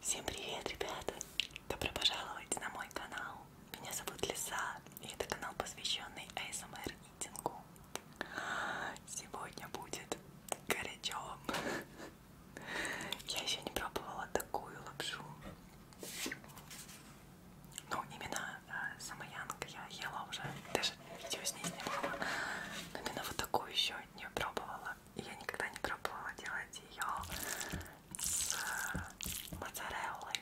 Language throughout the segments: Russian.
Всем привет, ребята! Добро пожаловать на мой канал. Меня зовут Лиса, и это канал, посвященный ASMR митингу. Сегодня будет горячо. Я еще не пробовала такую лапшу. Ну, именно э, самаянка я ела уже, даже видео с ней снимала. Но именно вот такую еще не пробовала. И я никогда не пробовала делать ее с э, моцареллой.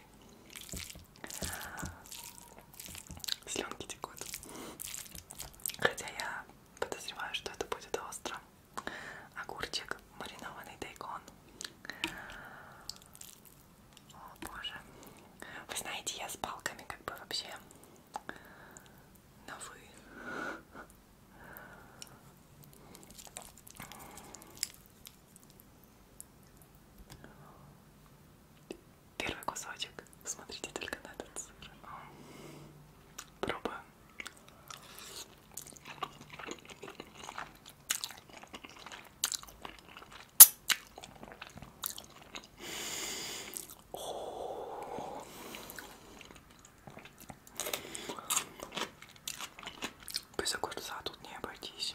Слюнки текут. Хотя я подозреваю, что это будет остро. Огурчик, маринованный дайкон. О боже. Вы знаете, я с палками как бы вообще на вы. Первый кусочек. Смотрите только на этот сыр. Пробуем. О Без огурца тут не обойтись.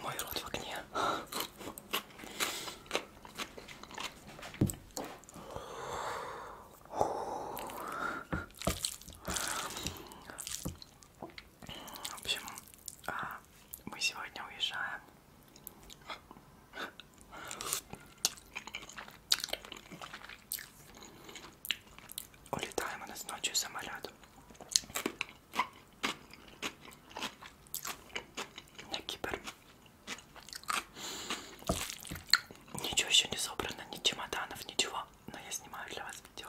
Мой рот в огне. В общем, а, мы сегодня уезжаем. Улетаем у нас ночью самолет. На Кипр. Ничего еще не собрано, ни чемоданов, ничего. Но я снимаю для вас видео.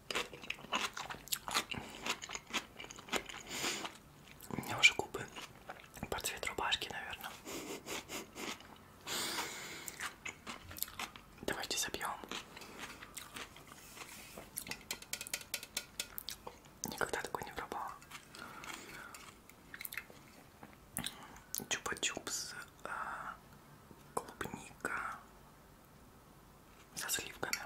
У меня уже губы по цвет рубашки, наверное. Давайте запьем. Никогда такой не пробовала. Чупа-чупс, а, клубника, со сливками.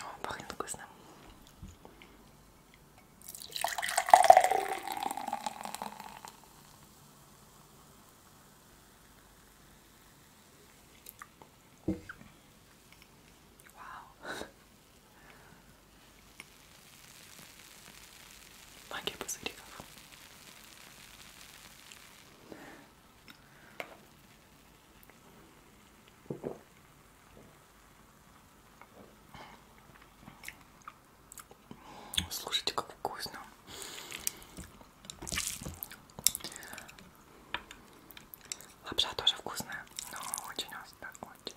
О, пахнет вкусно. Вау. Магия пузырьков. Слушайте, как вкусно. Лапша тоже вкусная, но очень острая, очень.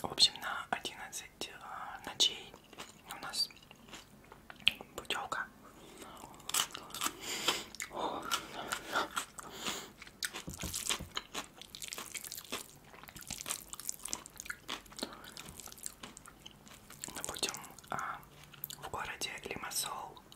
В общем, на 11 э, ночей у нас путевка. Мы будем а, в городе Лимассол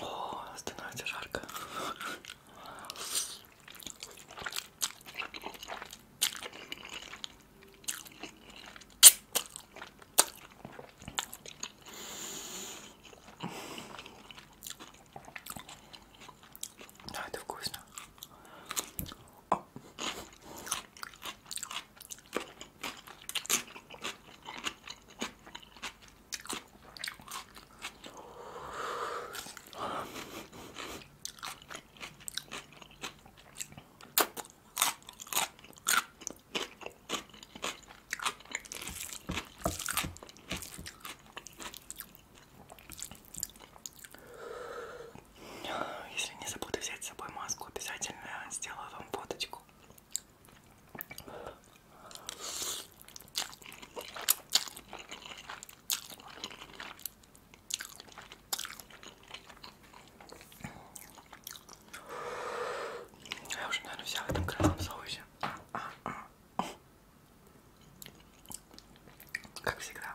О, становится жарко. Да, это вкусно. О. Если не забуду взять с собой маску, обязательно сделаю вам фоточку. Я уже, наверное, вся в этом красном соусе. А -а -а. Как всегда.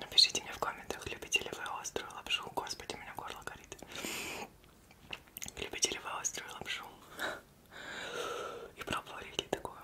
Напишите мне в комментах, любите ли вы острую лапшу. Господи, у меня горло горит. Любите ли вы острую лапшу? И пробовали ли такое?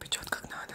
Печет как надо.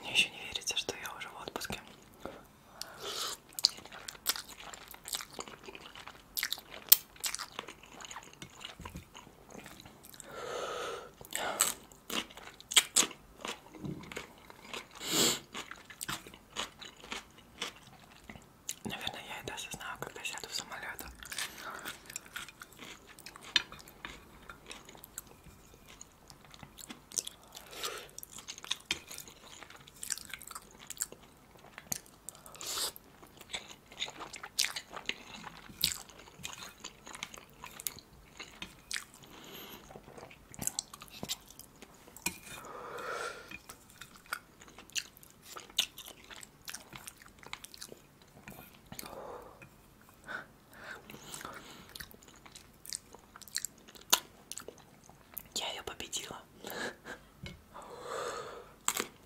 Мне еще не верится, что я уже в отпуске. Наверное, я это осознаю, когда сяду в самолет. Я ее победила.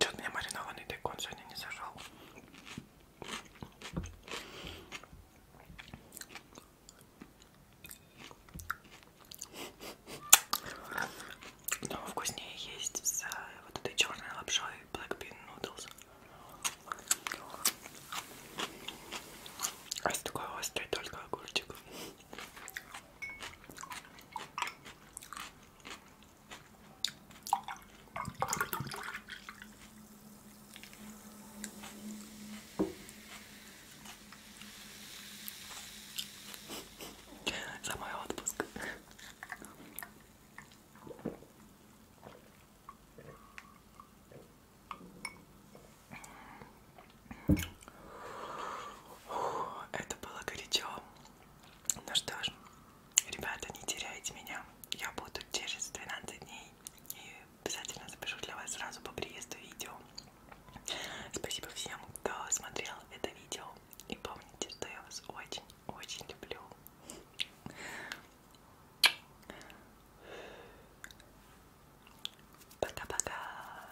Чё-то мне маринованный тайкон сегодня не зажал. Но вкуснее есть с э, вот этой черной лапшой Black Bean Noodles. А с такой острый только огурчик. За мой отпуск. Это было горячо. Ну что ж, ребята, не теряйте меня. Я буду через 12 дней. И обязательно запишу для вас сразу по приезду видео. Спасибо всем, кто смотрел это видео. И помните, что я вас очень-очень люблю. Пока-пока!